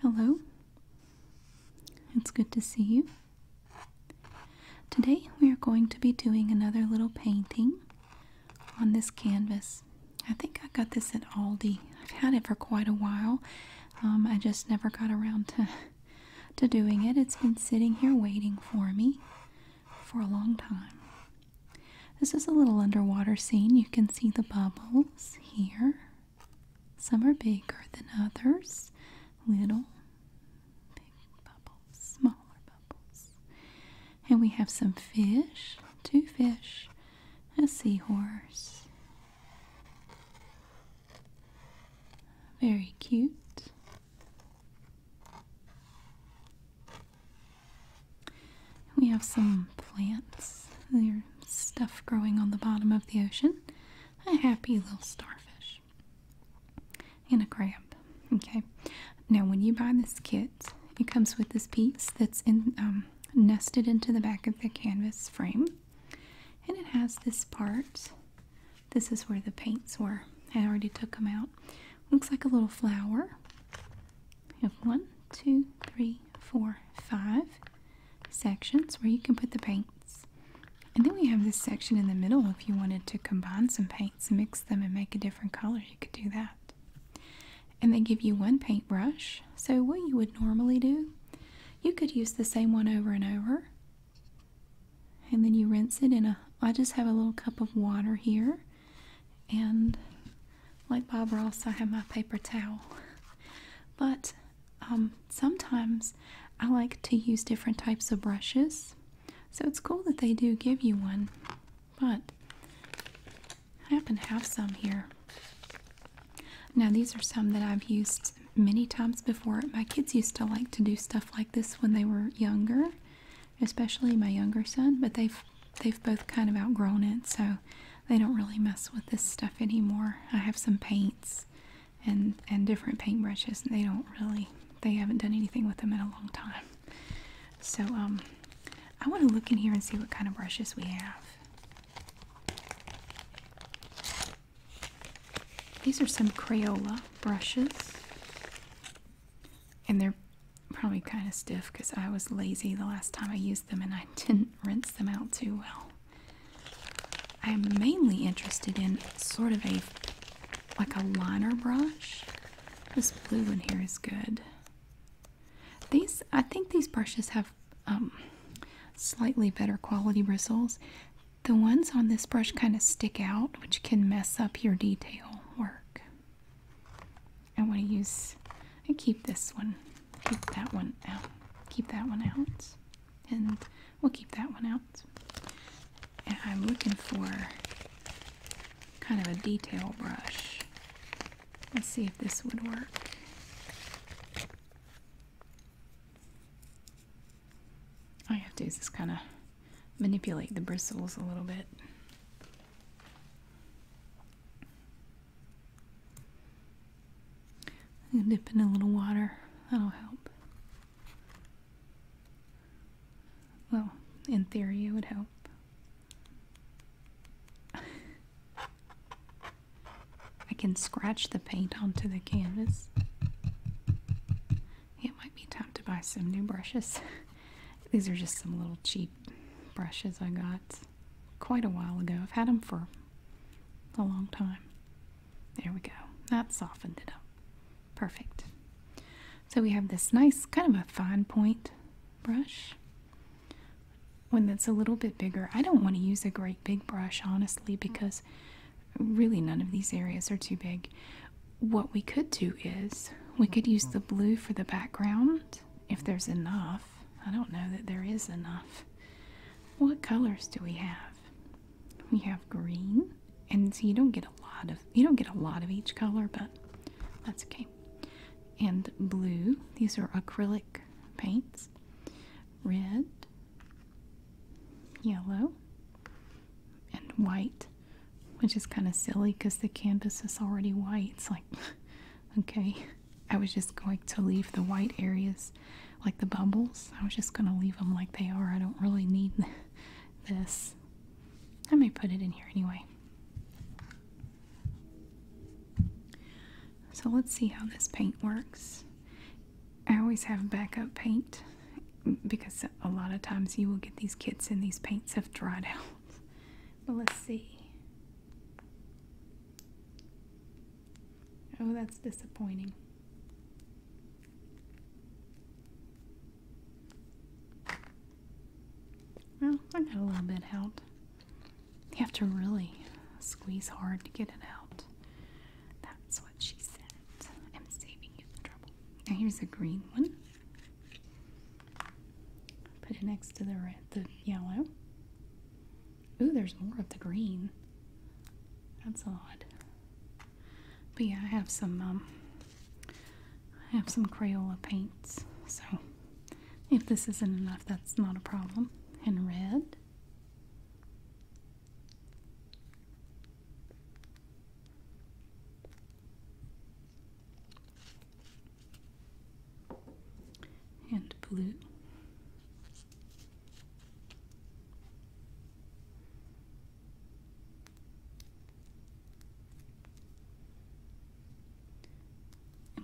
Hello, it's good to see you. Today we are going to be doing another little painting on this canvas. I think I got this at Aldi. I've had it for quite a while. Um, I just never got around to, to doing it. It's been sitting here waiting for me for a long time. This is a little underwater scene. You can see the bubbles here. Some are bigger than others. Little big bubbles, smaller bubbles. And we have some fish, two fish, a seahorse. Very cute. We have some plants. There's stuff growing on the bottom of the ocean. A happy little starfish. And a crab. Okay. Now, when you buy this kit, it comes with this piece that's in, um, nested into the back of the canvas frame. And it has this part. This is where the paints were. I already took them out. Looks like a little flower. have one, two, three, four, five sections where you can put the paints. And then we have this section in the middle if you wanted to combine some paints mix them and make a different color, you could do that. And they give you one paintbrush. So what you would normally do, you could use the same one over and over. And then you rinse it in a I just have a little cup of water here and like Bob Ross, I have my paper towel. But um, sometimes I like to use different types of brushes. So it's cool that they do give you one. But I happen to have some here. Now these are some that I've used many times before. My kids used to like to do stuff like this when they were younger, especially my younger son, but they've they've both kind of outgrown it, so they don't really mess with this stuff anymore. I have some paints and and different paint brushes. they don't really they haven't done anything with them in a long time. So um, I want to look in here and see what kind of brushes we have. These are some Crayola brushes. And they're probably kind of stiff because I was lazy the last time I used them and I didn't rinse them out too well. I am mainly interested in sort of a like a liner brush. This blue one here is good. These I think these brushes have um, slightly better quality bristles. The ones on this brush kind of stick out, which can mess up your detail work. I want to use and keep this one keep that one out. Keep that one out. And we'll keep that one out. I'm looking for kind of a detail brush. Let's see if this would work. All you have to do is just kind of manipulate the bristles a little bit. I'm gonna dip in a little water. That'll help. Well, in theory, it would help. I can scratch the paint onto the canvas. It might be time to buy some new brushes. These are just some little cheap brushes I got quite a while ago. I've had them for a long time. There we go. That softened it up. Perfect. So we have this nice kind of a fine point brush. One that's a little bit bigger. I don't want to use a great big brush, honestly, because really none of these areas are too big. What we could do is we could use the blue for the background if there's enough I don't know that there is enough. What colors do we have? We have green, and so you don't get a lot of you don't get a lot of each color, but that's okay. And blue. These are acrylic paints. Red, yellow, and white, which is kind of silly because the canvas is already white. It's like, okay, I was just going to leave the white areas like the bubbles. I was just going to leave them like they are. I don't really need this. I may put it in here anyway. So let's see how this paint works. I always have backup paint because a lot of times you will get these kits and these paints have dried out. But let's see. Oh, that's disappointing. Well, I got a little bit out. You have to really squeeze hard to get it out. That's what she said. I'm saving you the trouble. Now here's a green one. Put it next to the red, the yellow. Ooh, there's more of the green. That's odd. But yeah, I have some um, I have some Crayola paints, so if this isn't enough, that's not a problem. And red and blue.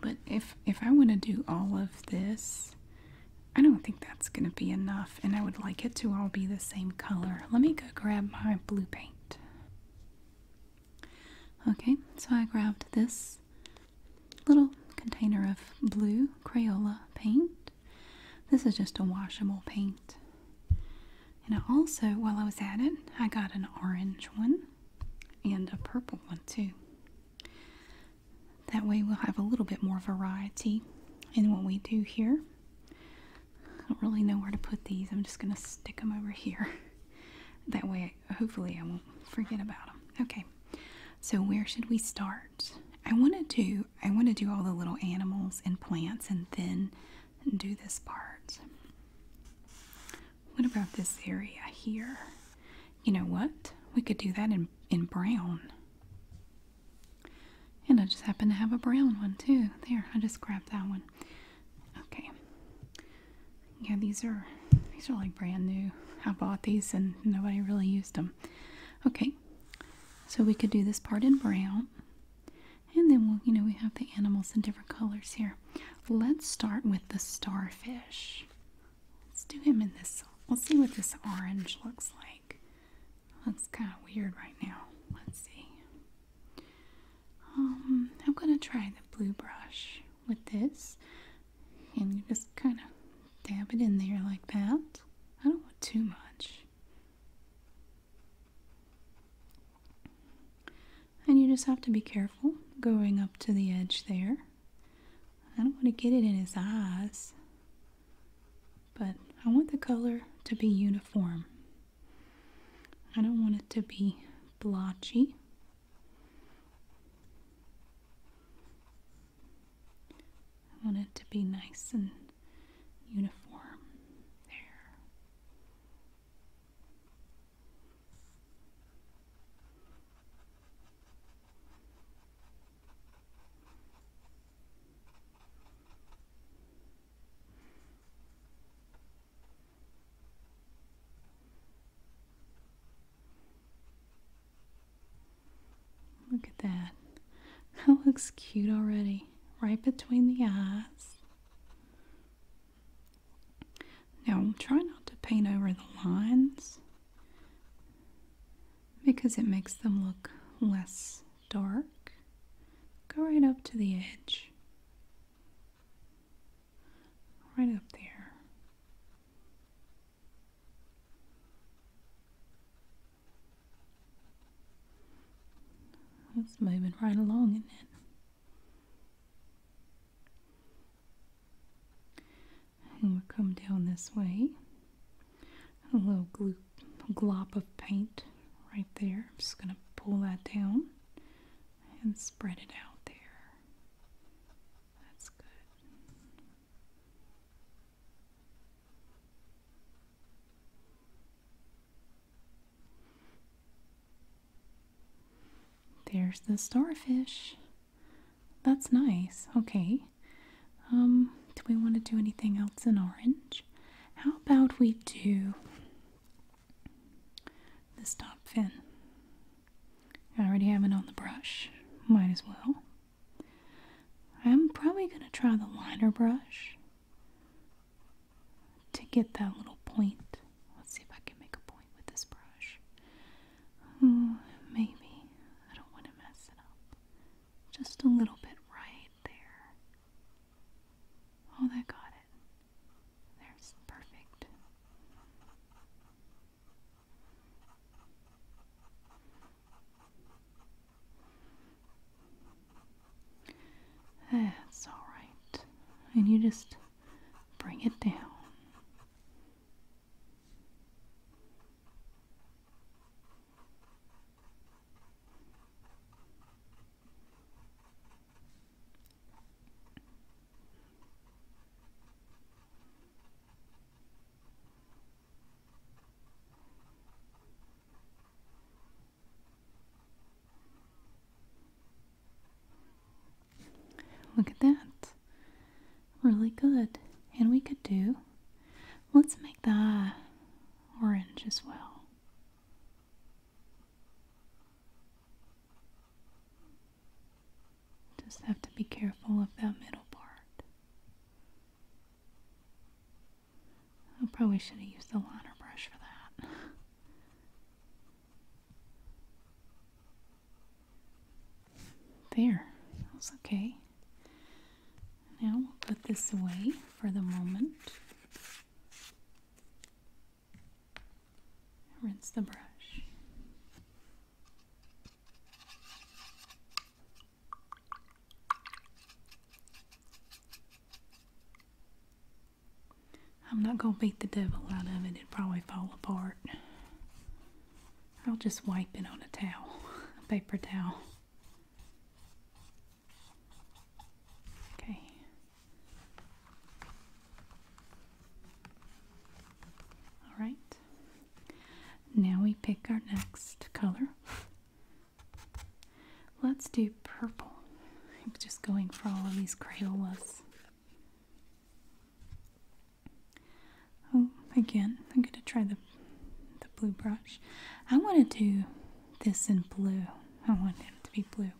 But if if I want to do all of this, I don't think that's going to be enough and I would like it to all be the same color. Let me go grab my blue paint. Okay, so I grabbed this little container of blue Crayola paint. This is just a washable paint. And I also, while I was at it, I got an orange one and a purple one too. That way we'll have a little bit more variety in what we do here. I don't really know where to put these. I'm just going to stick them over here. That way hopefully I won't forget about them. Okay, so where should we start? I want to do I want to do all the little animals and plants, and then do this part. What about this area here? You know what? We could do that in in brown. And I just happen to have a brown one too. There, I just grabbed that one. Okay yeah these are these are like brand new I bought these and nobody really used them okay so we could do this part in brown and then we'll you know we have the animals in different colors here let's start with the starfish let's do him in this let's see what this orange looks like looks kind of weird right now let's see um, I'm gonna try the blue brush with this and you just kind of dab it in there like that. I don't want too much. And you just have to be careful going up to the edge there. I don't want to get it in his eyes, but I want the color to be uniform. I don't want it to be blotchy I want it to be nice and uniform there. Look at that. That looks cute already. Right between the eyes. Now try not to paint over the lines because it makes them look less dark. Go right up to the edge right up there. It's moving right along, in not it? And we'll come down this way. A little glop of paint right there. just going to pull that down and spread it out there. That's good. There's the starfish. That's nice. Okay. Um, do we want to do anything else in orange? How about we do the stop fin? I already have it on the brush. Might as well. I'm probably going to try the liner brush to get that little point. Let's see if I can make a point with this brush. Hmm, maybe. I don't want to mess it up. Just a little bit right there. Oh, that got it. There's perfect. That's all right. And you just bring it down. Look at that. Really good. And we could do, let's make that orange as well. Just have to be careful of that middle part. I probably should have used the liner brush for that. There, that's okay. Now we'll put this away for the moment. Rinse the brush. I'm not going to beat the devil out of it. It'd probably fall apart. I'll just wipe it on a towel, a paper towel. Okay. Alright. Now we pick our next color. Let's do purple. I'm just going for all of these Crayolas. Oh, again, I'm going to try the, the blue brush. I want to do this in blue. I want him to be blue.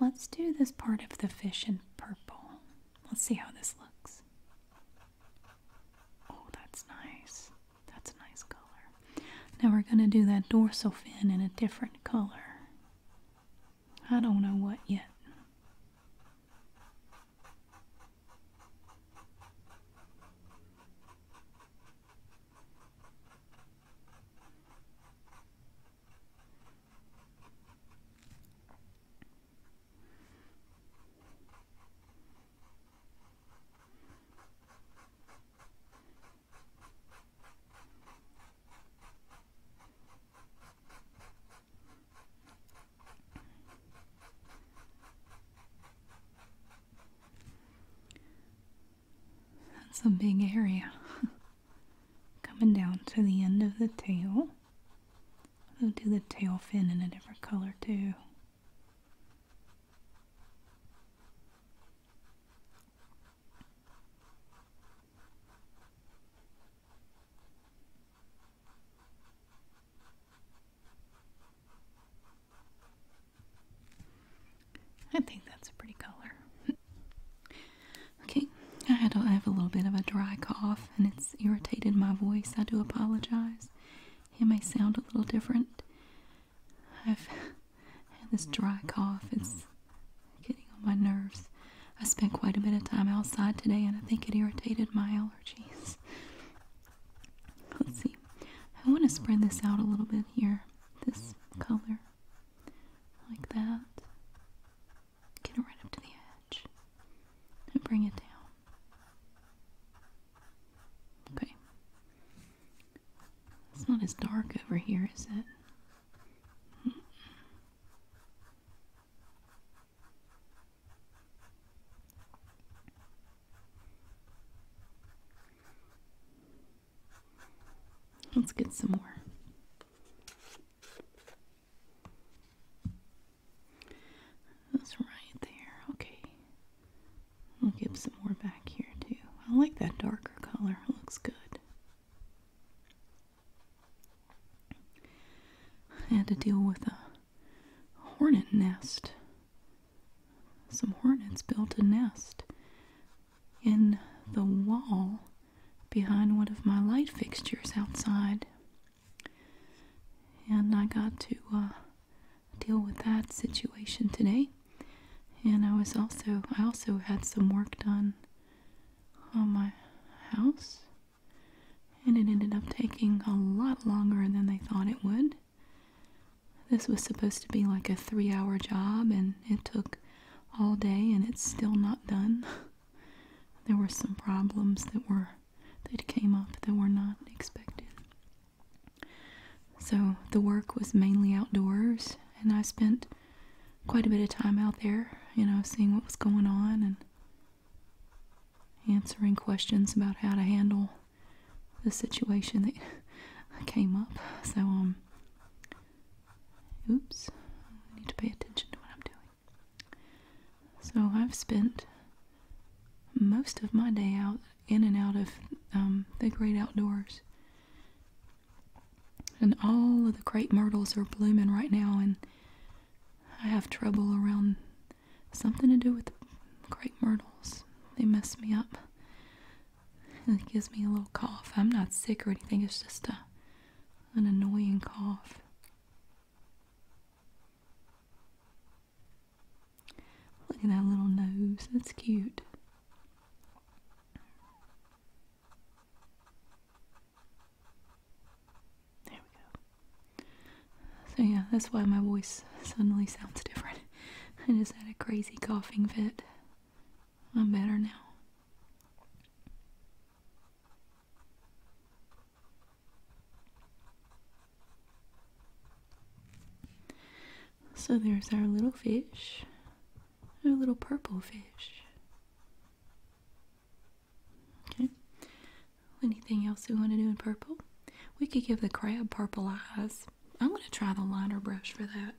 Let's do this part of the fish in purple. Let's see how this looks. Oh, that's nice. That's a nice color. Now we're going to do that dorsal fin in a different color. I don't know what yet. That's a big area coming down to the end of the tail. We'll do the tail fin in a different color too. I think that's a pretty color. okay, I have a little bit of a dry cough and it's irritated my voice. I do apologize. It may sound a little different. I've had this dry cough. It's getting on my nerves. I spent quite a bit of time outside today and I think it irritated my allergies. Let's see. I want to spread this out a little bit here. This color. Like that. Get it right up to the edge and bring it down. Okay. It's not as dark over here, is it? Let's get some more. That's right there. Okay. We'll give some more back here too. I like that darker color. looks good. I had to deal with a hornet nest. Some hornets built a nest in the wall behind one of my light fixtures outside and I got to uh, deal with that situation today. And I was also I also had some work done on my house, and it ended up taking a lot longer than they thought it would. This was supposed to be like a three-hour job, and it took all day, and it's still not done. there were some problems that were that came up that were not expected. So the work was mainly outdoors, and I spent quite a bit of time out there, you know, seeing what was going on and answering questions about how to handle the situation that came up. So, um, oops, need to pay attention to what I'm doing. So I've spent most of my day out in and out of um, the great outdoors. And all of the great myrtles are blooming right now, and I have trouble around something to do with the great myrtles. They mess me up. It gives me a little cough. I'm not sick or anything, it's just a, an annoying cough. Look at that little nose. That's cute. There we go. So, yeah, that's why my voice suddenly sounds different. I just had a crazy coughing fit. I'm better now. So there's our little fish, our little purple fish. Okay. Anything else we want to do in purple? We could give the crab purple eyes. I'm going to try the liner brush for that.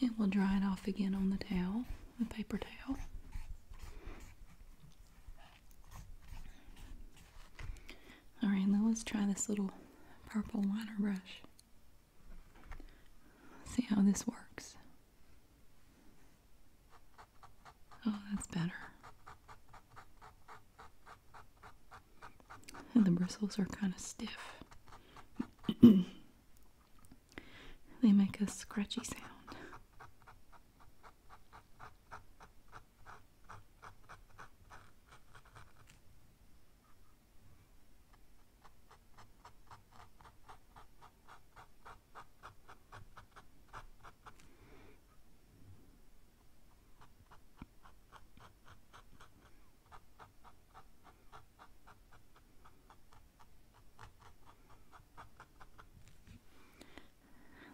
And we'll dry it off again on the towel, the paper towel. Alright, now let's try this little purple liner brush. See how this works. Oh, that's better. the bristles are kind of stiff. they make a scratchy sound.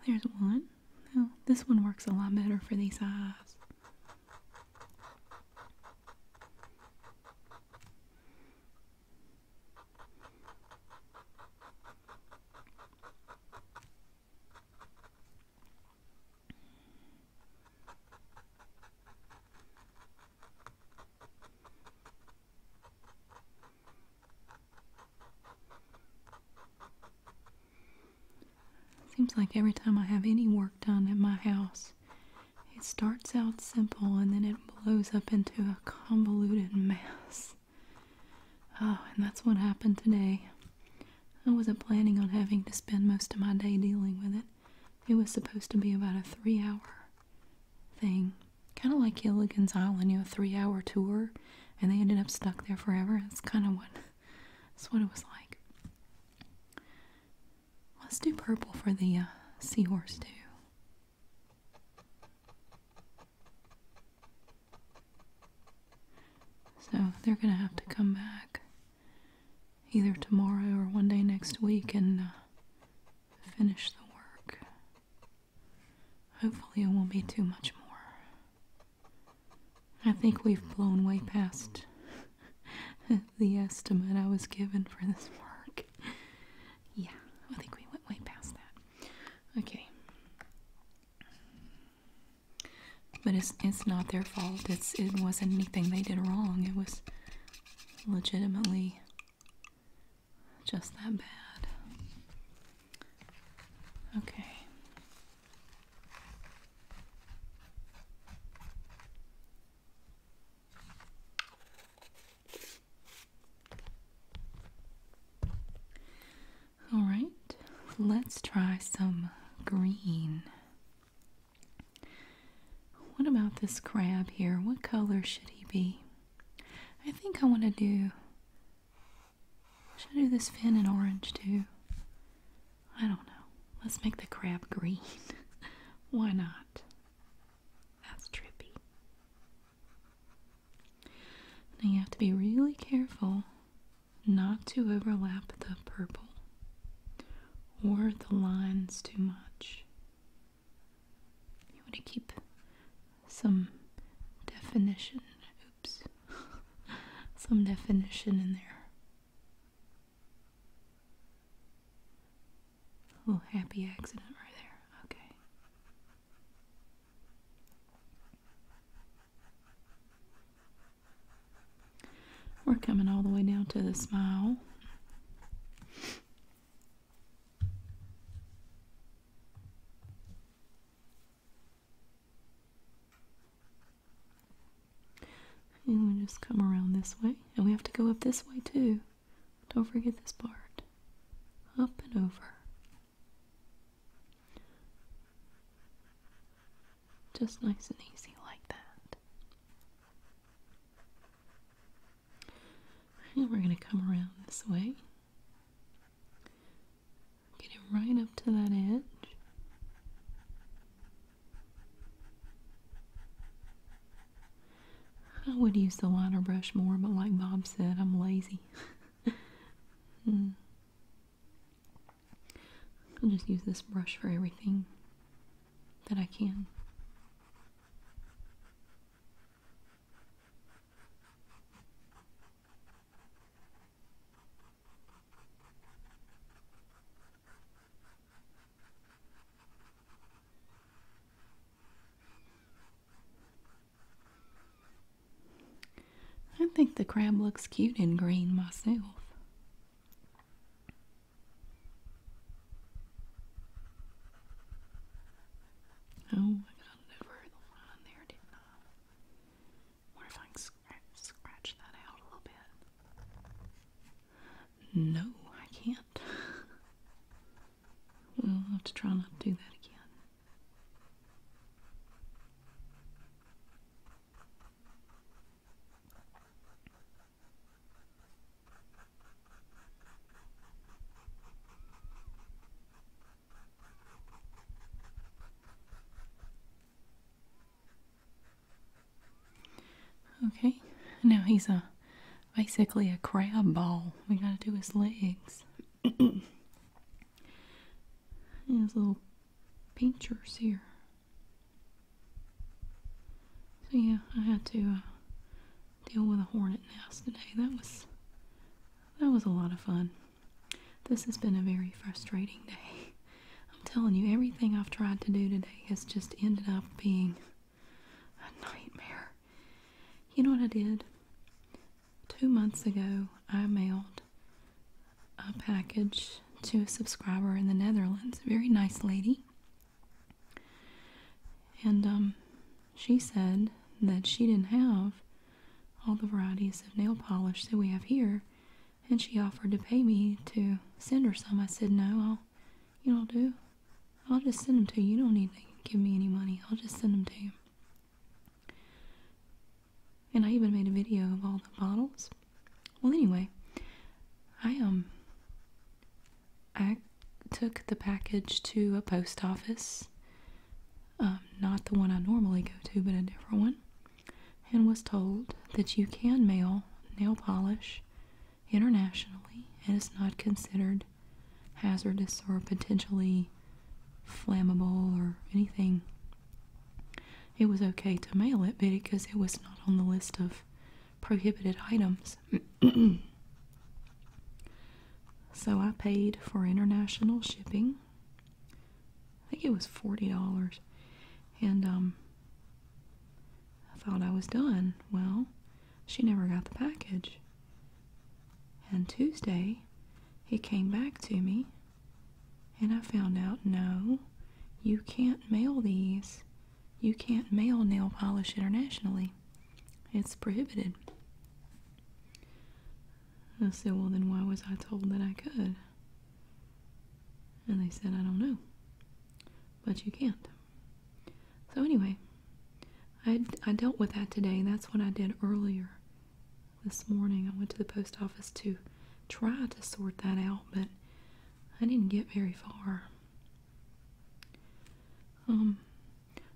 There's one. Oh, this one works a lot better for these eyes. Seems like every time I have any work done at my house, it starts out simple and then it blows up into a convoluted mess. Oh, and that's what happened today. I wasn't planning on having to spend most of my day dealing with it. It was supposed to be about a three hour thing. Kind of like Gilligan's Island, you know, a three hour tour, and they ended up stuck there forever. That's kind of what, that's what it was like. Let's do purple for the uh, seahorse, too. So they're gonna have to come back either tomorrow or one day next week and uh, finish the work. Hopefully, it won't be too much more. I think we've blown way past the estimate I was given for this work. Yeah, I think we went way past that. Okay. But it's it's not their fault. It's it wasn't anything they did wrong. It was legitimately just that bad. Okay. Alright, let's try some green. What about this crab here? What color should he be? I think I want to do. Should do this fin in orange too? I don't know. Let's make the crab green. Why not? That's trippy. Now you have to be really careful not to overlap the purple or the lines too much. You want to keep some definition. Oops. some definition in there. A little happy accident right there. Okay. We're coming all the way down to the smile. And we just come around this way. And we have to go up this way too. Don't forget this part. Up and over. Just nice and easy like that. And we're going to come around this way. Get it right up to that edge. I would use the liner brush more, but like Bob said, I'm lazy. mm. I'll just use this brush for everything that I can. I think the crab looks cute in green myself. Oh, I got it the line there, did I? Wonder if I scratch, that out a little bit. No, I can't. well, will have to try not to do that again. Okay, now he's a basically a crab ball. We gotta do his legs. And his little pinchers here. So yeah, I had to uh, deal with a hornet nest today. That was that was a lot of fun. This has been a very frustrating day. I'm telling you, everything I've tried to do today has just ended up being a nightmare. You know what I did? two months ago, I mailed a package to a subscriber in the Netherlands, a very nice lady. And um, she said that she didn't have all the varieties of nail polish that we have here, and she offered to pay me to send her some. I said, No, I'll, you know, do. I'll just send them to you. You don't need to give me any money. I'll just send them to you. And I even made a video of all the bottles. Well, anyway, I um I took the package to a post office. Um, not the one I normally go to, but a different one, and was told that you can mail nail polish internationally and it's not considered hazardous or potentially flammable or anything it was okay to mail it because it was not on the list of prohibited items. so I paid for international shipping. I think it was $40. And um, I thought I was done. Well, she never got the package. And Tuesday, he came back to me and I found out no, you can't mail these. You can't mail nail polish internationally, it's prohibited. I said, Well, then why was I told that I could? And they said, I don't know. But you can't. So, anyway, I, dealt with that today. That's what I did earlier this morning. I went to the post office to try to sort that out, but I didn't get very far. Um,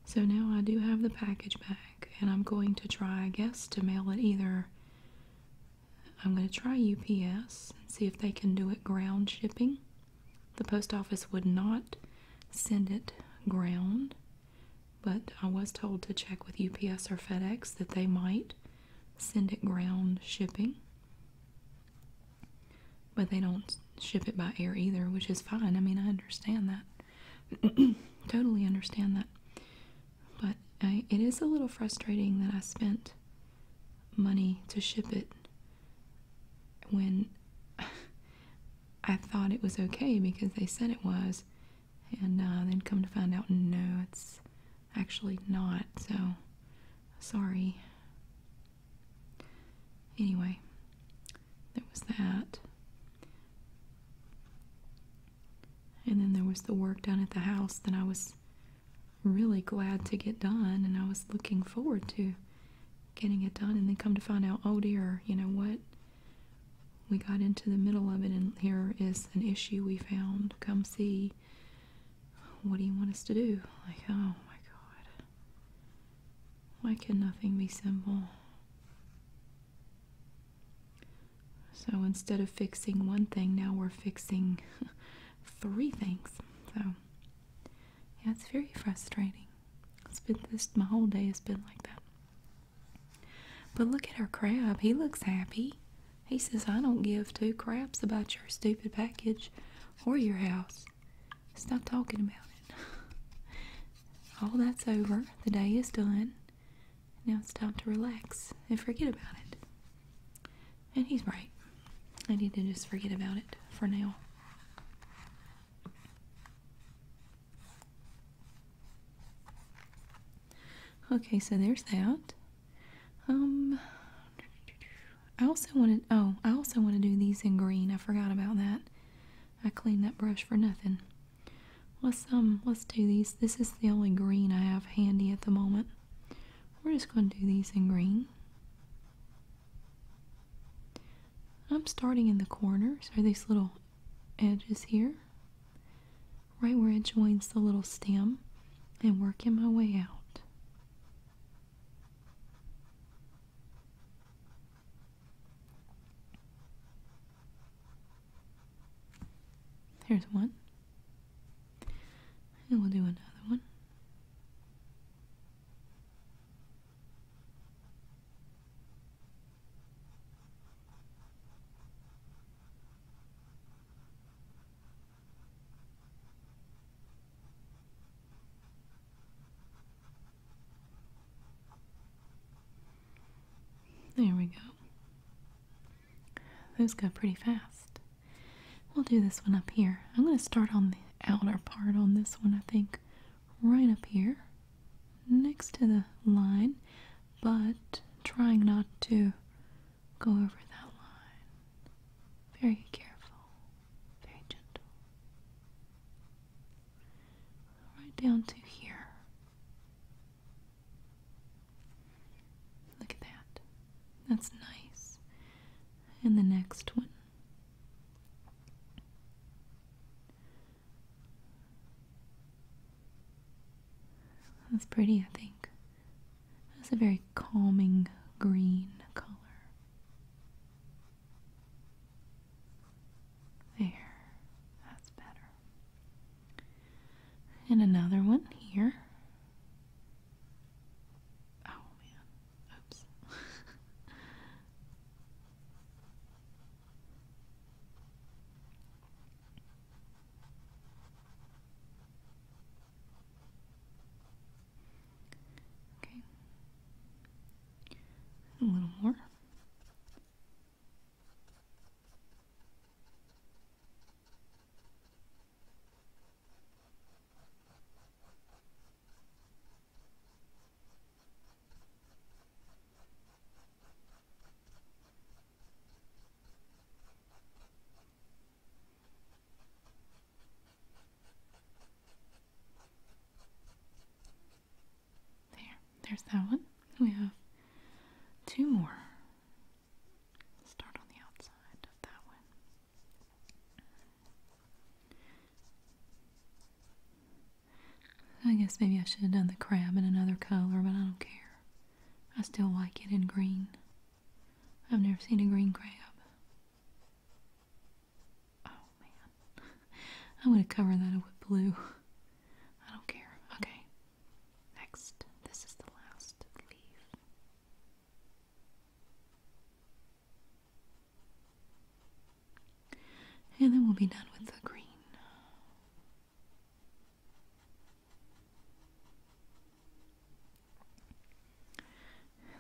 so now I do have the package back, and I'm going to try, I guess, to mail it either. I'm going to try UPS and see if they can do it ground shipping. The post office would not send it ground. But I was told to check with UPS or FedEx that they might send it ground shipping. But they don't ship it by air either, which is fine. I mean, I understand that. totally understand that. But uh, it is a little frustrating that I spent money to ship it when I thought it was okay because they said it was, and uh, then come to find out, no, it's actually not. So, sorry. Anyway, there was that. And then there was the work done at the house that I was really glad to get done and I was looking forward to getting it done and then come to find out, oh dear, you know what? we got into the middle of it, and here is an issue we found. Come see. What do you want us to do? Like, oh my god. Why can nothing be simple? So instead of fixing one thing, now we're fixing three things. So, yeah, it's very frustrating. It's been this, my whole day has been like that. But look at our crab. He looks happy. He says, I don't give two craps about your stupid package or your house. Stop talking about it. All that's over. The day is done. Now it's time to relax and forget about it. And he's right. I need to just forget about it for now. Okay, so there's that. Um, I also wanted. Oh, I also want to do these in green. I forgot about that. I cleaned that brush for nothing. Let's um, let's do these. This is the only green I have handy at the moment. We're just going to do these in green. I'm starting in the corners. so these little edges here, right where it joins the little stem, and working my way out. There's one. And we'll do another one. There we go. Those go pretty fast. We'll do this one up here. I'm going to start on the outer part on this one, I think. Right up here, next to the line but trying not to go over that line. Very careful, very gentle. Right down to here. Look at that. That's nice. And the next one. That's pretty, I think. That's a very calming green color. There, that's better. And another one here. Oh man, oops. Okay. A little more. There, there's that one. We have two more. Start on the outside of that one. I guess maybe I should have done the crab in another color, but I don't care. I still like it in green. I've never seen a green crab. Oh man. I would have covered that up with blue. I don't care. Okay. Next. This is the last leaf. And then we'll be done with the green.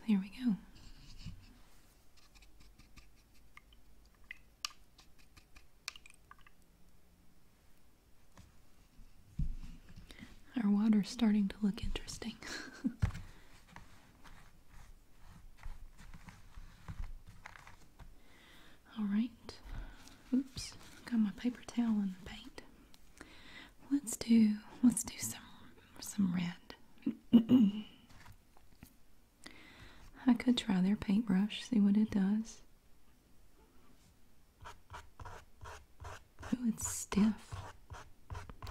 There we go. Our water's starting to look interesting. Alright. Oops. Got my paper towel in the paint. Let's do let's do some some red. I could try their paintbrush, see what it does. Oh, it's stiff.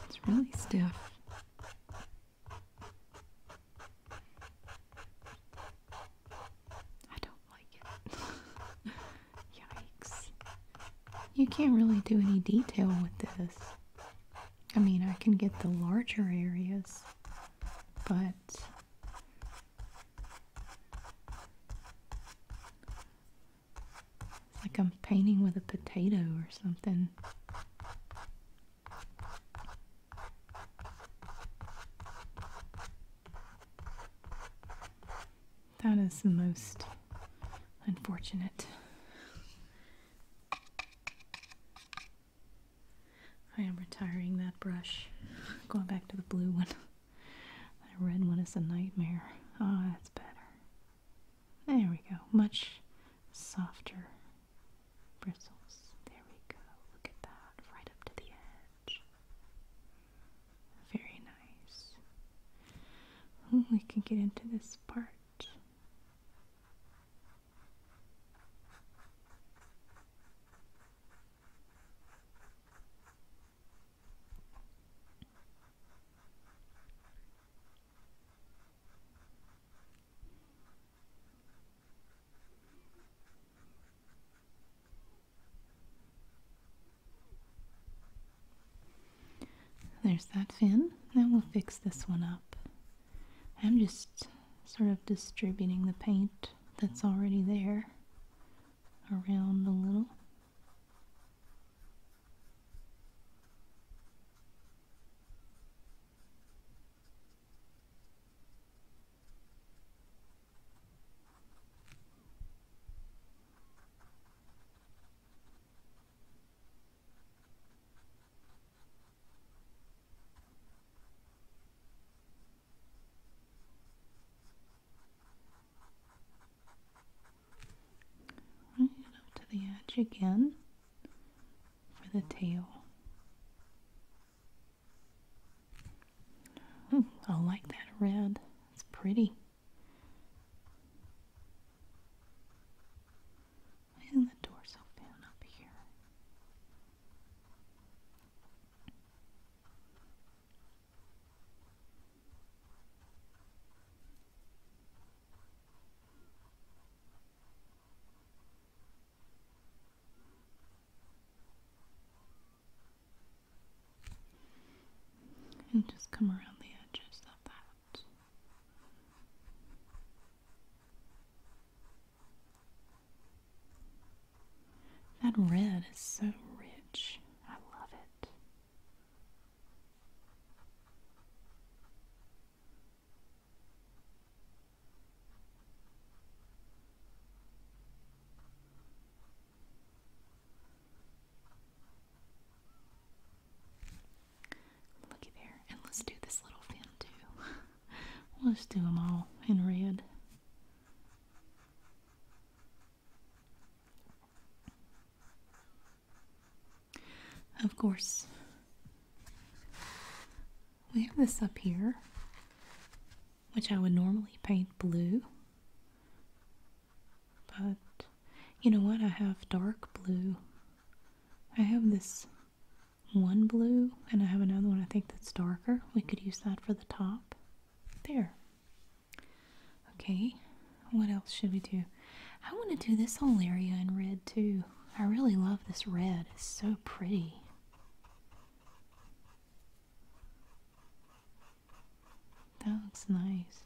It's really stiff. I don't Yikes. You can't really do any detail with this. I mean, I can get the larger areas, but it's like I'm painting with a potato or something. That is the most unfortunate. I am retiring that brush. Going back to the blue one. That red one is a nightmare. Ah, that's better. There we go. Much softer bristles. There we go. Look at that. Right up to the very nice. we can get into this part. There's that fin. Now we'll fix this one up. I'm just sort of distributing the paint that's already there around a little. Right up to the edge again for the tail. I like that red. It's pretty. Why is the door so down up here? And just come around the edges of that. That red is so rich. I love it. Looky there. And let's do this little fin too. we'll just do them all in red. Of course, we have this up here which I would normally paint blue. But you know what? I have dark blue. I have this one blue, and I have another one I think that's darker. We could use that for the top. There. Okay, what else should we do? I want to do this whole area in red too. I really love this red, it's so pretty. That looks nice.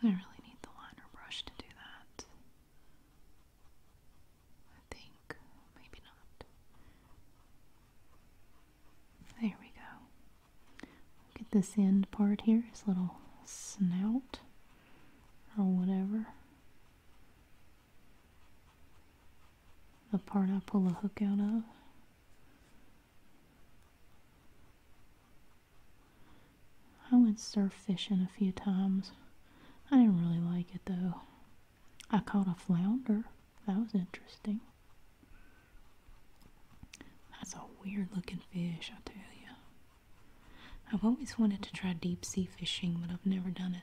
I really need the liner brush to do that. I think, maybe not. There we go. Look at this end part here, his little snout or whatever. The part I pull the hook out of. I went surf fishing a few times. I didn't really like it though. I caught a flounder. That was interesting. That's a weird looking fish, I tell you. I've always wanted to try deep sea fishing, but I've never done it.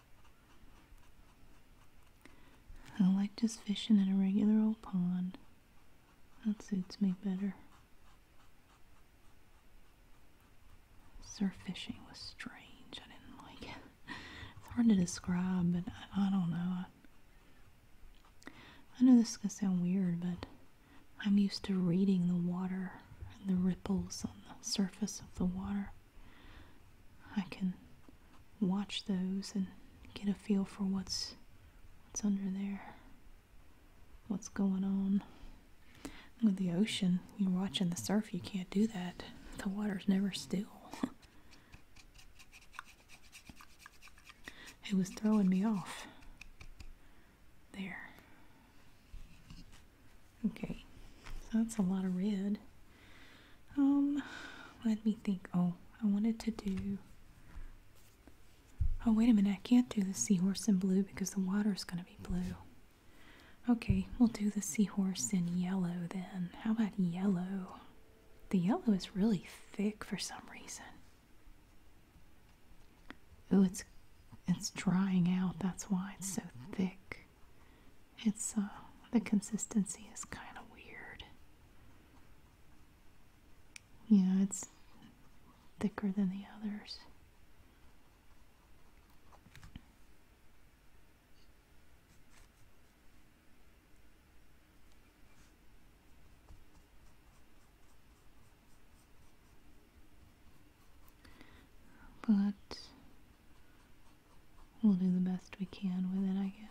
I like just fishing in a regular old pond. That suits me better. Surf fishing was strange. I didn't like it. It's hard to describe, but I, don't know. I know this is going to sound weird, but I'm used to reading the water and the ripples on the surface of the water. I can watch those and get a feel for what's what's under there, what's going on. With the ocean, you're watching the surf, you can't do that. The water's never still. it was throwing me off. There. Okay, that's a lot of red. Um, let me think. Oh, I wanted to do. Oh, wait a minute. I can't do the seahorse in blue because the water is going to be blue. Okay, we'll do the seahorse in yellow then. How about yellow? The yellow is really thick for some reason. Oh, it's it's drying out. That's why it's so thick. It's uh, the consistency is kind of weird. Yeah, it's thicker than the others. But We'll do the best we can with it, I guess.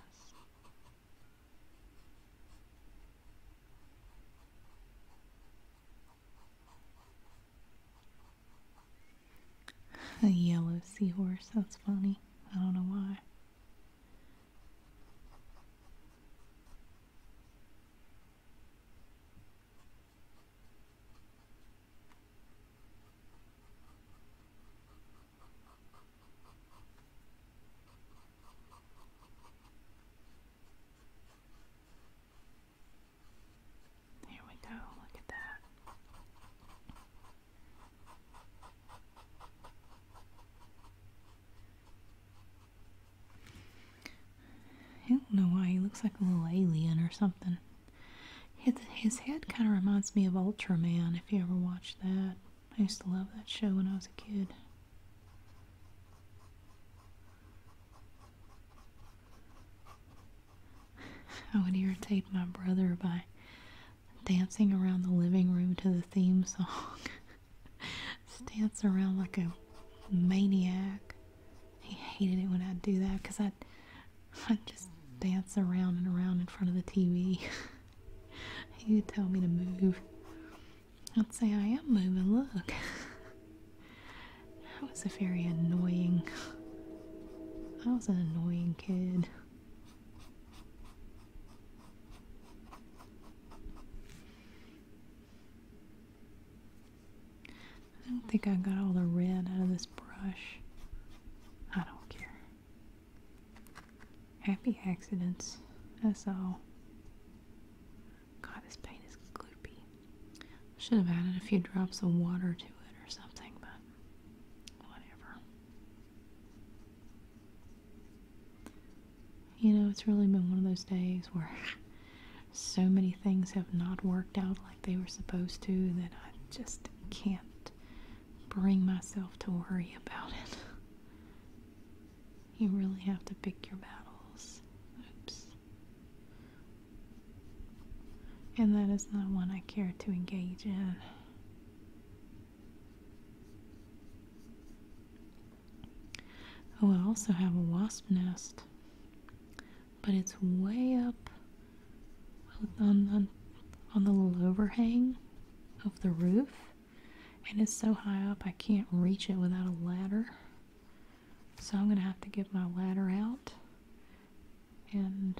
A yellow seahorse, that's funny. I don't know why. Here we go, look at that. I don't know why he looks like a little alien or something. His, his head kind of reminds me of Ultraman, if you ever watched that. I used to love that show when I was a kid. I would irritate my brother by dancing around the living room to the theme song. Dance around like a maniac. He hated it when I'd do that because I'd, I'd just dance around and around in front of the TV. he would tell me to move. I'd say, I am moving, look. I was a very annoying. I was an annoying kid. I don't think I got all the red out of this brush. I don't care. Happy accidents. That's all. God, this paint is gloopy. Should have added a few drops of water to it or something, but whatever. You know, it's really been one of those days where so many things have not worked out they were supposed to that I just can't bring myself to worry about it. You really have to pick your battles. And that is not one I care to engage in. Oh, I also have a wasp nest but it's way up on, on, the little overhang of the roof. And it's so high up I can't reach it without a ladder. So I'm going to have to get my ladder out and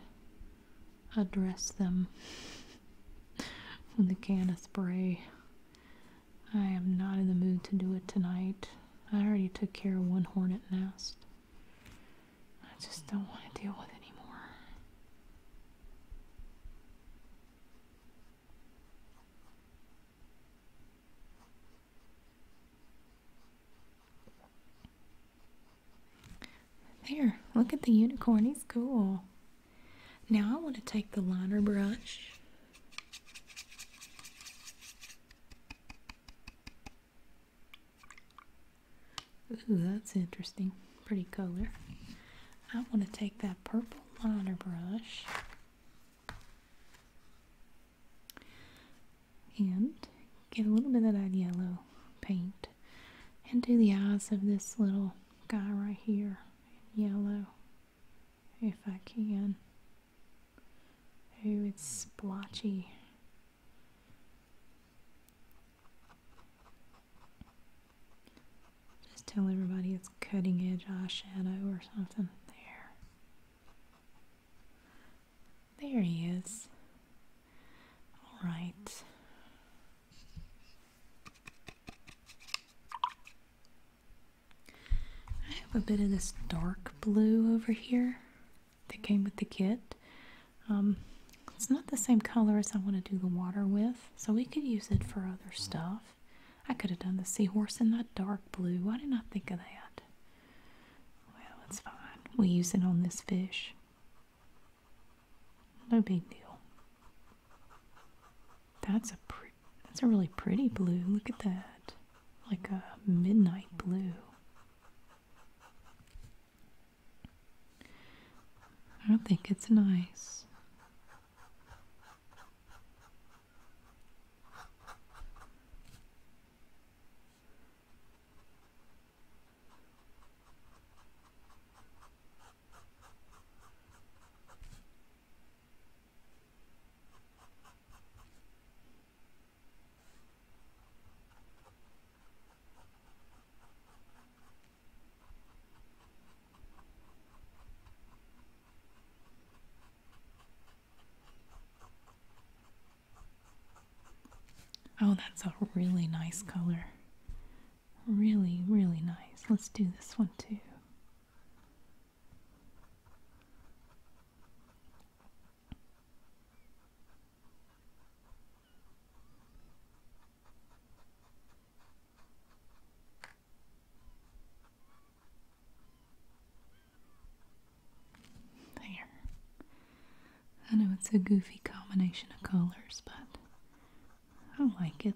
address them with a can of spray. I am not in the mood to do it tonight. I already took care of one hornet nest. I just don't want to deal with anymore. There, look at the unicorn, he's cool. Now I want to take the liner brush Ooh, that's interesting. Pretty color. I want to take that purple liner brush and get a little bit of that yellow paint and do the eyes of this little guy right here in yellow if I can. Oh, it's splotchy. Just tell everybody it's cutting edge eyeshadow or something. There. There he is. Alright. I have a bit of this dark blue over here that came with the kit. Um, it's not the same color as I want to do the water with, so we could use it for other stuff. I could have done the seahorse in that dark blue. Why didn't I think of that? Well, it's fine. We use it on this fish. No big deal. That's a pretty, that's a really pretty blue. Look at that. Like a midnight blue. I don't think it's nice. Oh, that's a really nice color. Really, really nice. Let's do this one too. There. I know it's a goofy combination of colors, but I like it.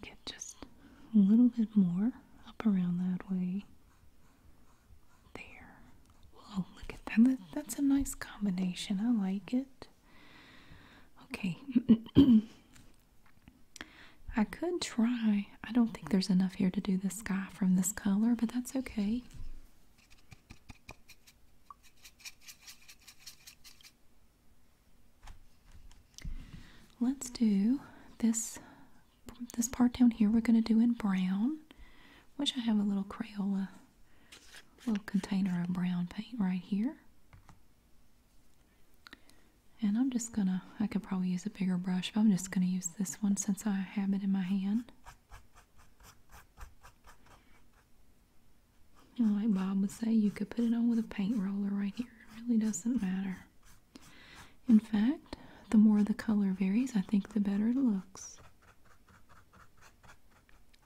Get just a little bit more up around that way. There. Whoa, look at that. That's a nice combination. I like it. Okay. I could try. I don't think there's enough here to do the sky from this color, but that's okay. Let's do this this part down here we're going to do in brown. which I have a little Crayola little container of brown paint right here. And I'm just gonna, I could probably use a bigger brush, but I'm just gonna use this one since I have it in my hand. And like Bob would say, you could put it on with a paint roller right here. It really doesn't matter. In fact, the more the color varies, I think the better it looks.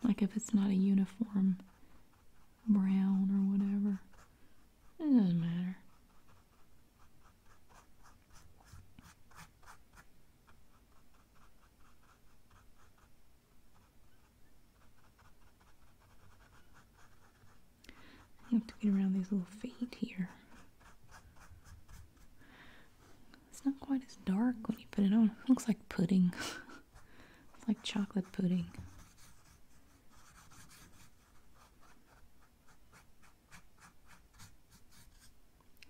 Like if it's not a uniform brown or whatever. It doesn't matter. You have to get around these little feet here. It's not quite as dark when you put it on. looks like pudding. it's like chocolate pudding.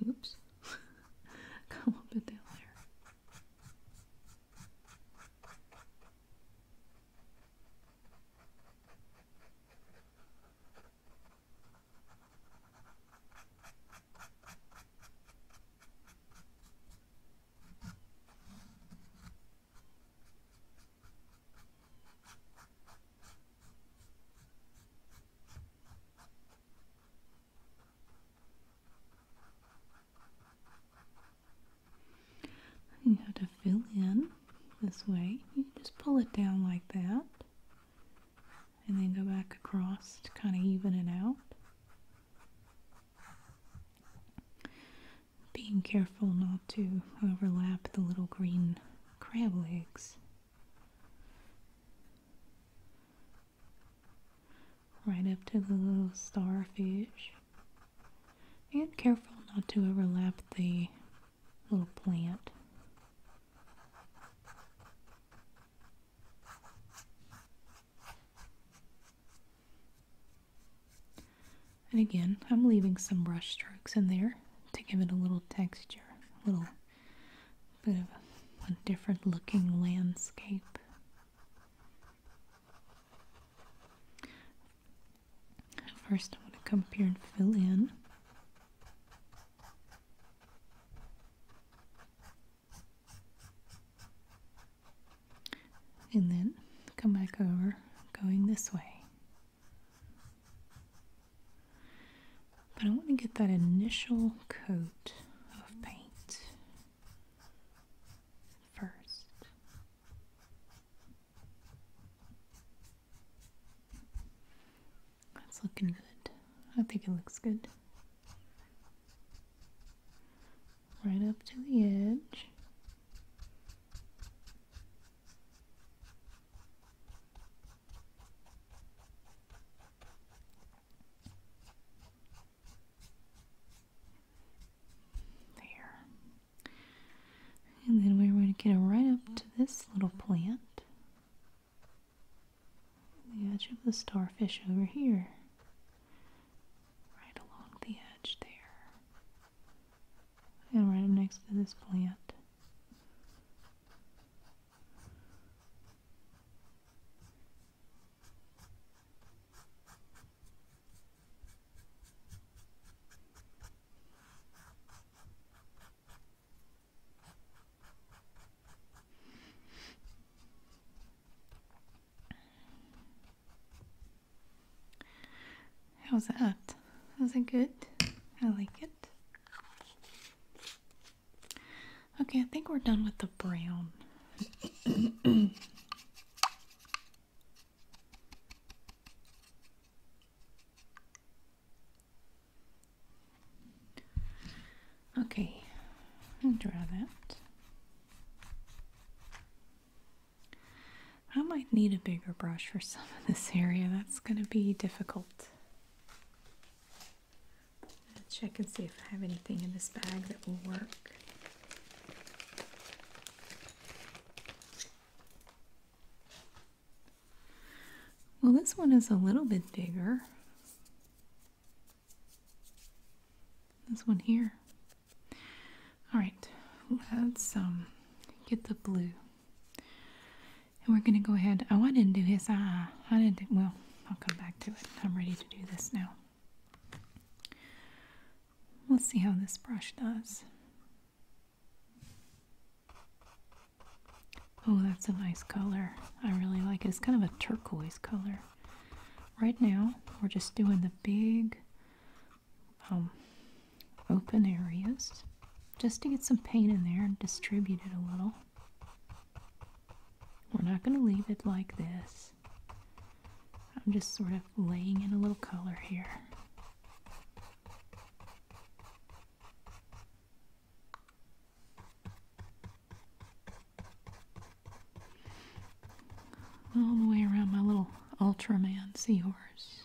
Oops. Got a little bit there. You have to fill in this way. You just pull it down like that and then go back across to kind of even it out. Being careful not to overlap the little green crab legs. Right up to the little starfish. And careful not to overlap the little plant. And again, I'm leaving some brush strokes in there to give it a little texture, a little bit of a, a different looking landscape. First, I'm going to come up here and fill in. And then come back over going this way. But I want to get that initial coat of paint first. That's looking good. I think it looks good. Right up to the edge. There. And then we're going to get right up to this little plant. The edge of the starfish over here. Right along the edge there. And right up next to this plant. How's that? Was that good? I like it. Okay, I think we're done with the brown. okay, draw that. I might need a bigger brush for some of this area. That's going to be difficult. Let's check and see if I have anything in this bag that will work. Well, this one is a little bit bigger. This one here. All right, let's um, get the blue. And we're going to go ahead. Oh, I didn't do his eye. I didn't well, I'll come back to it. I'm ready to do this now. Let's see how this brush does. Oh, that's a nice color. I really like it. It's kind of a turquoise color. Right now, we're just doing the big um, open areas just to get some paint in there and distribute it a little. We're not going to leave it like this. I'm just sort of laying in a little color here. All the way around my little Ultraman seahorse.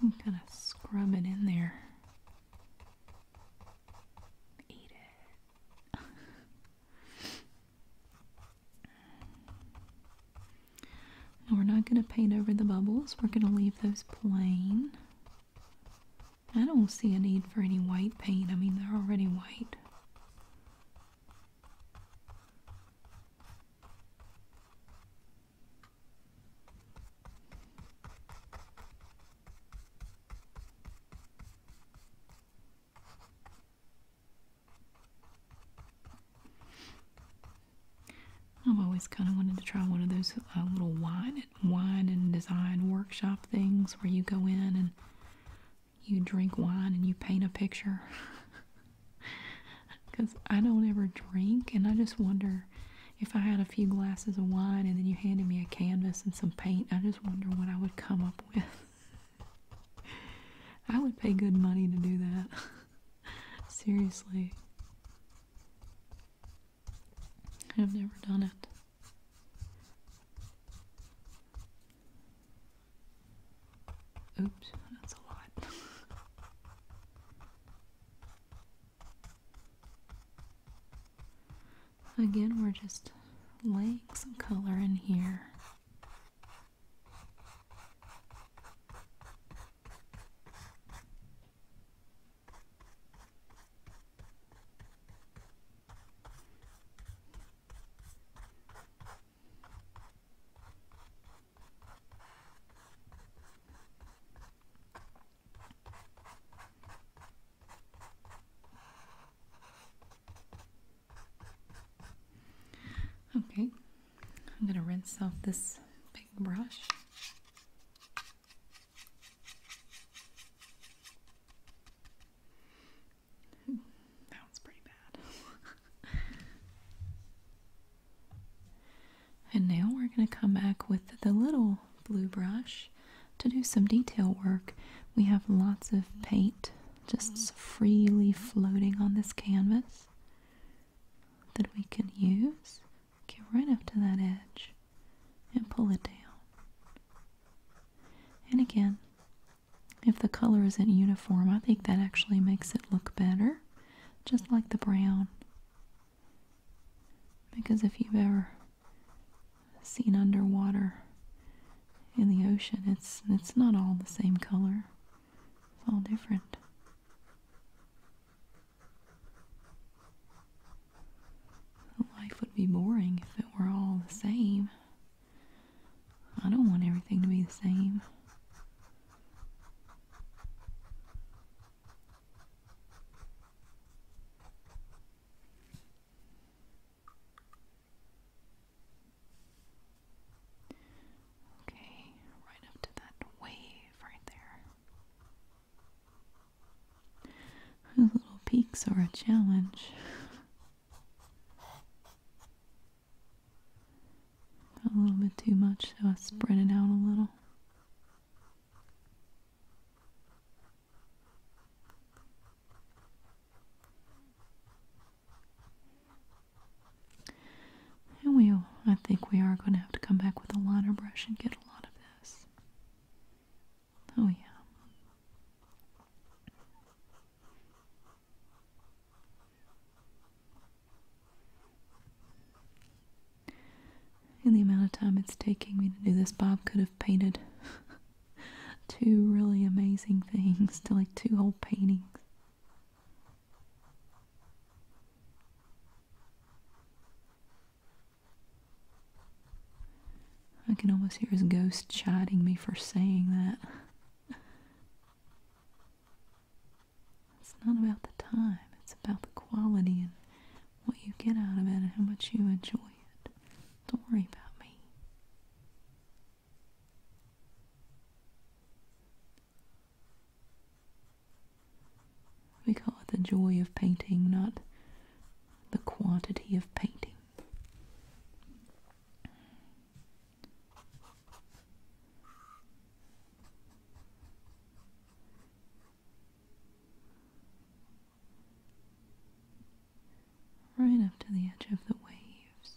You can kind of scrub it in there. Eat it. we're not going to paint over the bubbles. We're going to leave those plain. I don't see a need for any white paint. I mean, they're already white. I've always kind of wanted to try one of those uh, little wine, wine and design workshop things where you go in and you drink wine and you paint a picture. Because I don't ever drink, and I just wonder if I had a few glasses of wine and then you handed me a canvas and some paint, I just wonder what I would come up with. I would pay good money to do that. Seriously. I've never done it. Oops, that's a lot. Again, we're just laying some color in here. Okay, I'm going to rinse off this big brush. that was pretty bad. and now we're going to come back with the little blue brush to do some detail work. We have lots of paint just freely floating on this canvas that we can use. Get right up to that edge and pull it down. And again, if the color isn't uniform, I think that actually makes it look better, just like the brown. Because if you've ever seen underwater in the ocean, it's it's not all the same color. It's all different. Life would be boring if it were all the same. I don't want everything to be the same. Okay, right up to that wave right there. little peaks are a challenge a little bit too much, so I spread it out a little. And we'll, I think we are going to have to come back with a liner brush and get a lot of this. Oh, yeah. In the amount of time it's taking me to do this, Bob could have painted two really amazing things, to like two whole paintings. I can almost hear his ghost chiding me for saying that. It's not about the time, it's about the quality and what you get out of it and how much you enjoy it. Don't worry about me. We call it the joy of painting, not the quantity of painting right up to the edge of the waves.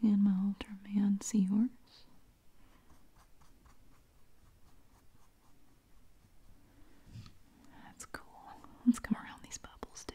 And my Ultraman seahorse. That's cool. Let's come around these bubbles too.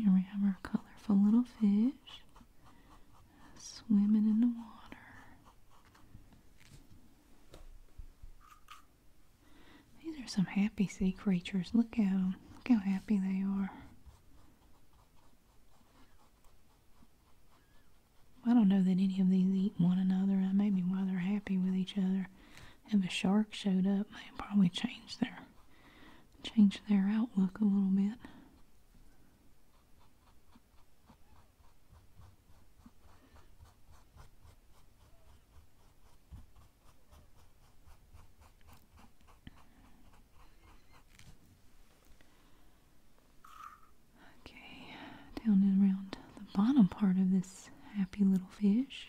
Here we have our colorful little fish swimming in the water. These are some happy sea creatures. Look at them. Look how happy they are. I don't know that any of these eat one another. That may be why they're happy with each other. If a shark showed up, they'd probably change their change their outlook a little bit. Okay, down and around the bottom part of this happy little fish.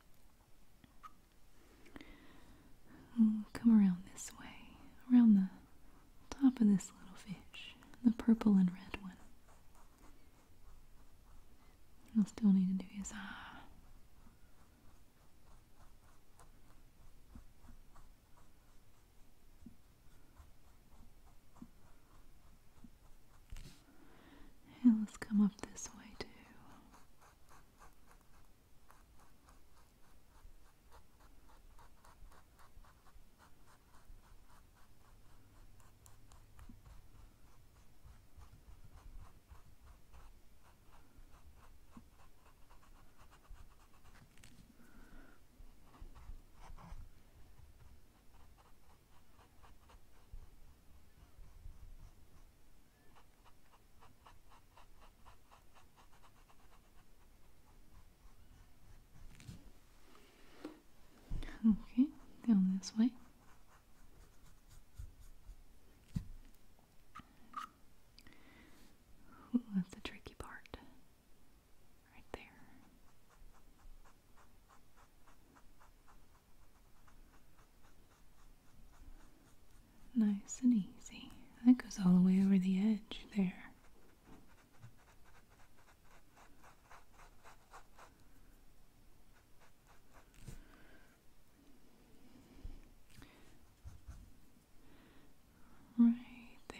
come around this way, around the top of this little fish, the purple and red one. you will still need to do his eye. And come up this way too. Okay, down this way. that's the tricky part. Right there. Nice and easy. That goes all the way over the edge there. Right there.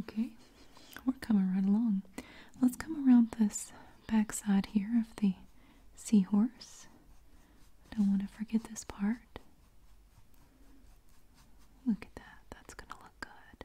Okay, we're coming right along. Let's come around this back side here of the seahorse. Don't want to forget this part. Look at that, that's going to look good.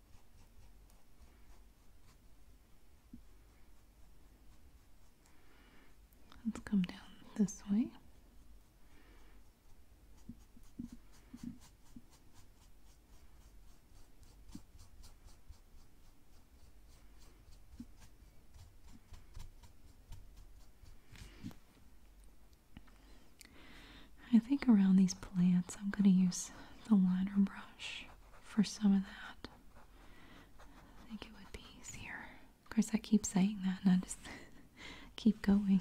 Let's come down this way. I think around these plants I'm going to use the liner brush for some of that. I think it would be easier. Of course, I keep saying that and I just keep going.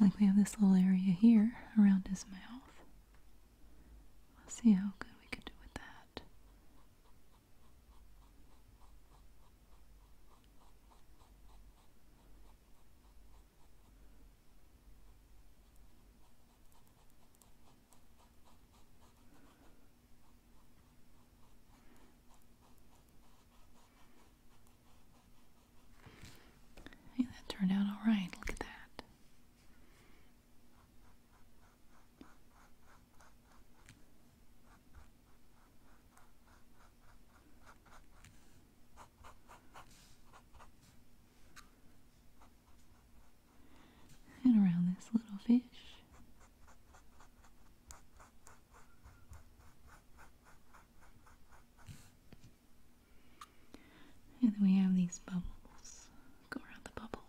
Like we have this little area here around his mouth. Let's see how good we can do with that that turned out all right. Look at that and around this little fish. And then we have these bubbles. Go around the bubbles.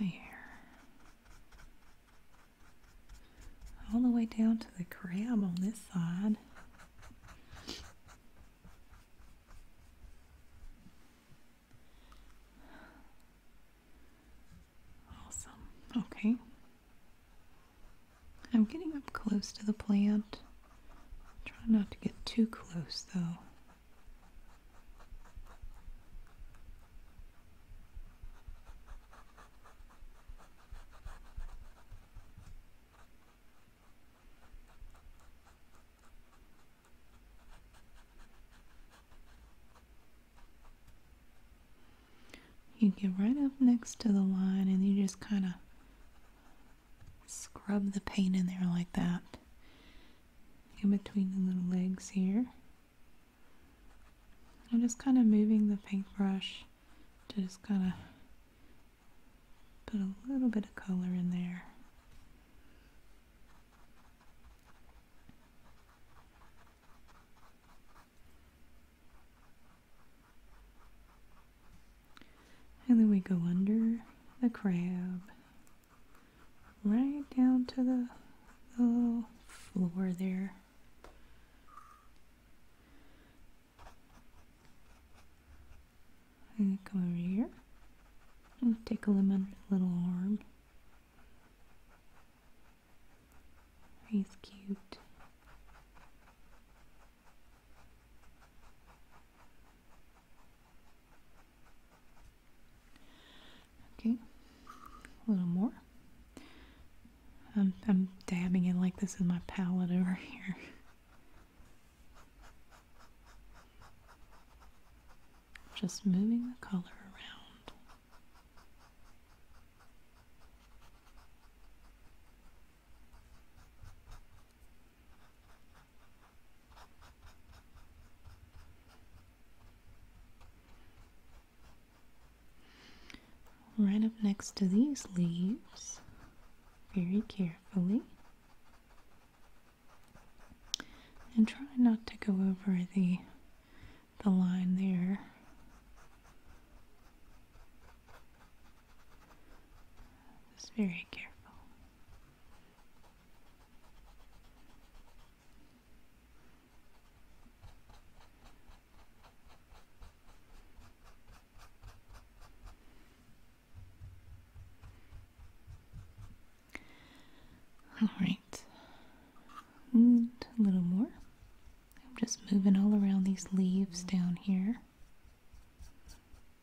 There. All the way down to the crab on this side. Awesome. Okay. I'm getting up close to the plant. Try not to get too close though. You get right up next to the line and you just kind of scrub the paint in there like that in between the little legs here I'm just kind of moving the paintbrush to just kind of put a little bit of color in there and then we go under the crab right down to the, floor there. And come over here and take a little, little arm. He's cute. Okay, a little more. I'm, dabbing in like this is my palette over here. Just moving the color around. Right up next to these leaves, very carefully, and try not to go over the the line there. Just very careful. All right, and a little more. I'm just moving all around these leaves down here.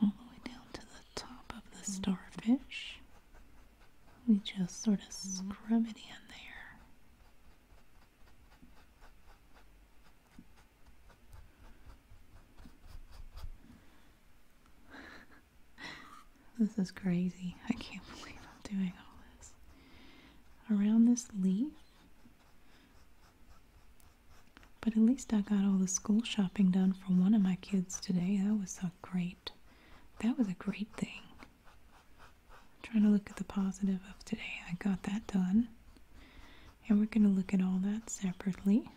all the way down to the top of the starfish. We just sort of scrub it in there. this is crazy. I can't believe I'm doing all this. Around this leaf, but at least I got all the school shopping done for one of my kids today. That was a great that was a great thing. I'm trying to look at the positive of today. I got that done. And we're going to look at all that separately.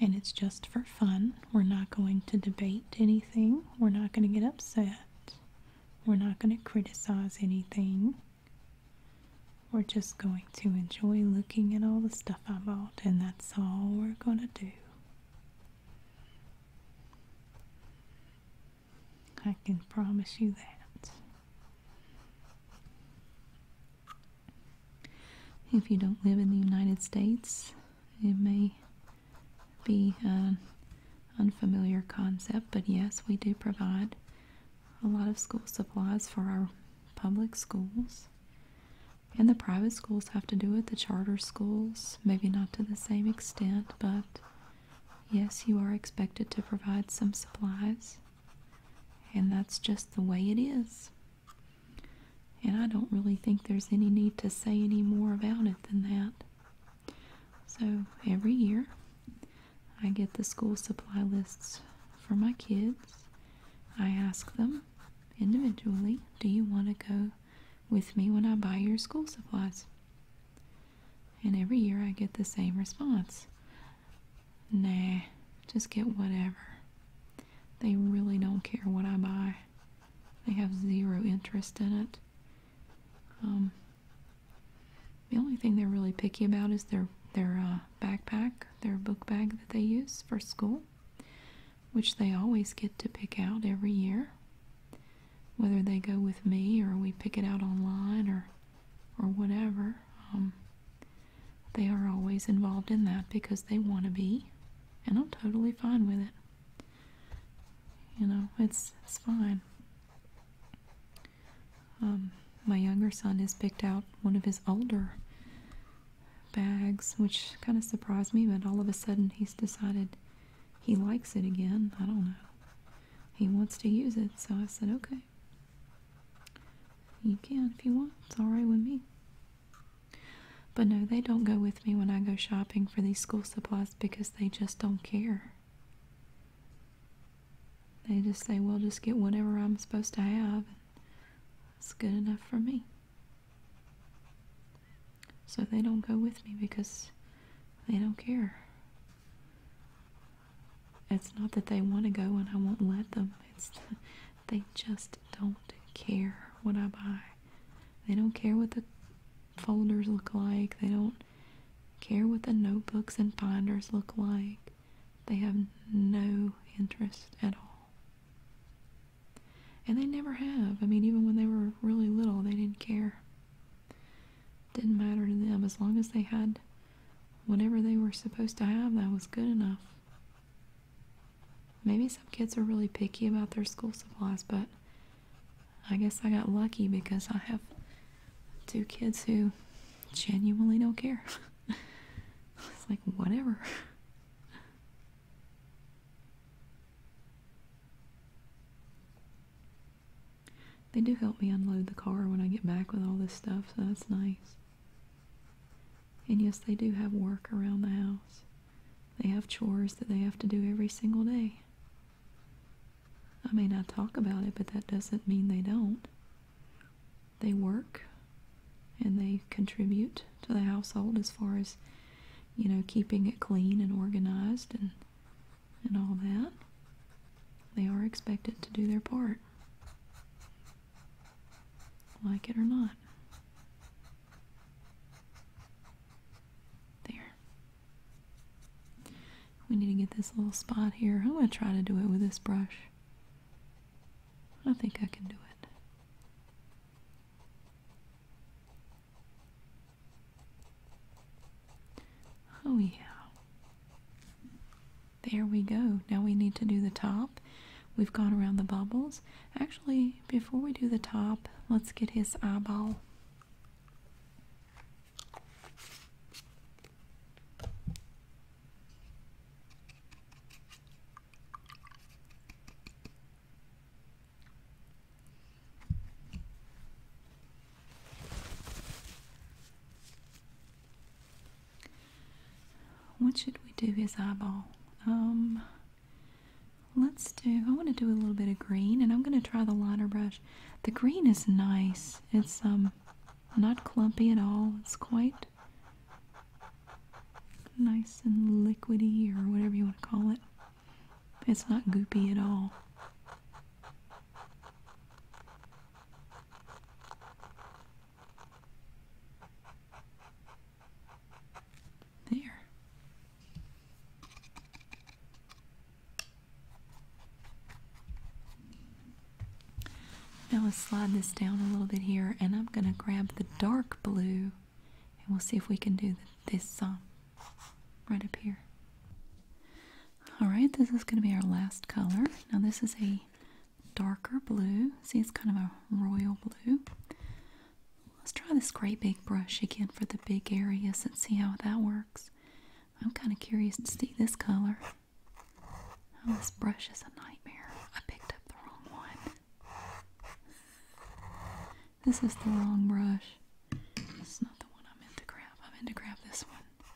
And it's just for fun. We're not going to debate anything. We're not going to get upset. We're not going to criticize anything. We're just going to enjoy looking at all the stuff I bought, and that's all we're going to do. I can promise you that. If you don't live in the United States, it may be an unfamiliar concept, but yes, we do provide a lot of school supplies for our public schools. And the private schools have to do with the charter schools, maybe not to the same extent, but yes, you are expected to provide some supplies. And that's just the way it is. And I don't really think there's any need to say any more about it than that. So every year, I get the school supply lists for my kids I ask them individually, Do you want to go with me when I buy your school supplies? And every year I get the same response Nah, just get whatever. They really don't care what I buy, they have zero interest in it. Um, the only thing they're really picky about is their their uh, backpack, their book bag that they use for school, which they always get to pick out every year. Whether they go with me or we pick it out online or or whatever, um, they are always involved in that because they want to be, and I'm totally fine with it. You know, it's it's fine. Um, my younger son has picked out one of his older bags, which kind of surprised me, but all of a sudden he's decided he likes it again. I don't know. He wants to use it, so I said, okay. You can if you want. It's all right with me. But no, they don't go with me when I go shopping for these school supplies because they just don't care. They just say, well, just get whatever I'm supposed to have. It's good enough for me. So they don't go with me because they don't care. It's not that they want to go and I won't let them. It's they just don't care what I buy. They don't care what the folders look like. They don't care what the notebooks and binders look like. They have no interest at all. And they never have. I mean, even when they were really little, they didn't care. Didn't matter to them. As long as they had whatever they were supposed to have, that was good enough. Maybe some kids are really picky about their school supplies, but I guess I got lucky because I have two kids who genuinely don't care. it's like whatever. They do help me unload the car when I get back with all this stuff, so that's nice. And yes, they do have work around the house. They have chores that they have to do every single day. I may not talk about it, but that doesn't mean they don't they work and they contribute to the household as far as you know keeping it clean and organized and and all that they are expected to do their part like it or not there we need to get this little spot here I'm going to try to do it with this brush I think I can do it. Oh, yeah. There we go. Now we need to do the top. We've gone around the bubbles. Actually, before we do the top, let's get his eyeball. What should we do his eyeball? Um, let's do, I want to do a little bit of green and I'm going to try the liner brush. The green is nice. It's um not clumpy at all. It's quite nice and liquidy or whatever you want to call it. It's not goopy at all. There. Now let's slide this down a little bit here and I'm going to grab the dark blue and we'll see if we can do this song right up here. Alright, this is going to be our last color. Now this is a darker blue. See, it's kind of a royal blue. Let's try this great big brush again for the big areas and see how that works. I'm kind of curious to see this color. Oh, this brush is a nightmare. I picked up the wrong one. This is the wrong brush. It's not the one I meant to grab. I meant to grab this one.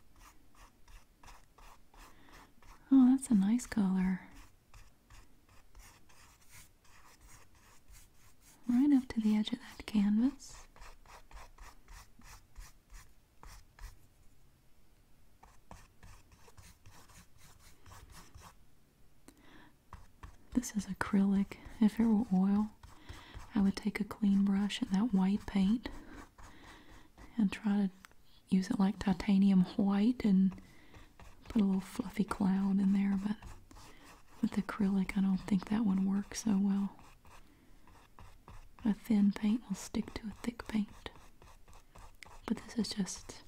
Oh, that's a nice color. Right up to the edge of that canvas. This is acrylic. If it were oil, I would take a clean brush and that white paint and try to use it like titanium white and put a little fluffy cloud in there, but with acrylic, I don't think that one works so well. A thin paint will stick to a thick paint. But this is just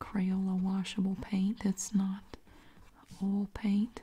Crayola washable paint that's not oil paint.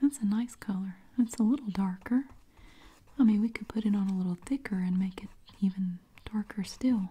That's a nice color. It's a little darker. I mean, we could put it on a little thicker and make it even darker still.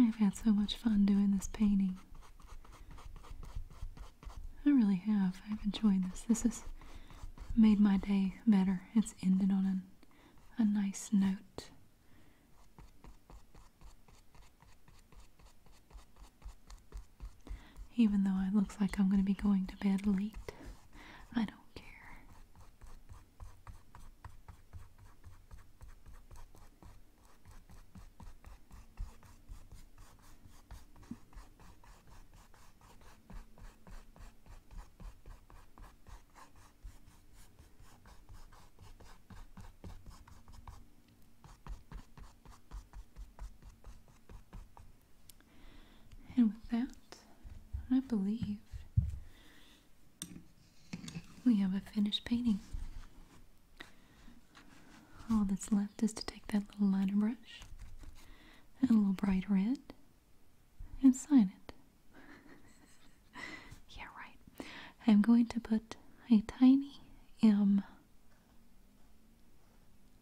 I've had so much fun doing this painting. I really have. I've enjoyed this. This has made my day better. It's ended on a nice note. Even though it looks like I'm going to be going to bed late. I don't care. And with that, I believe we have a finished painting. All that's left is to take that little liner brush and a little bright red and sign it. yeah, right. I'm going to put a tiny M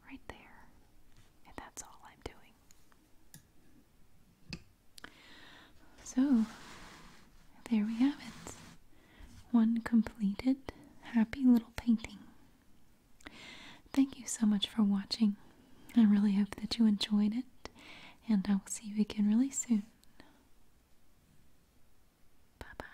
right there. And that's all I'm doing. So, there we have it. One completed, happy little painting. Thank you so much for watching. I really hope that you enjoyed it, and I will see you again really soon. Bye bye.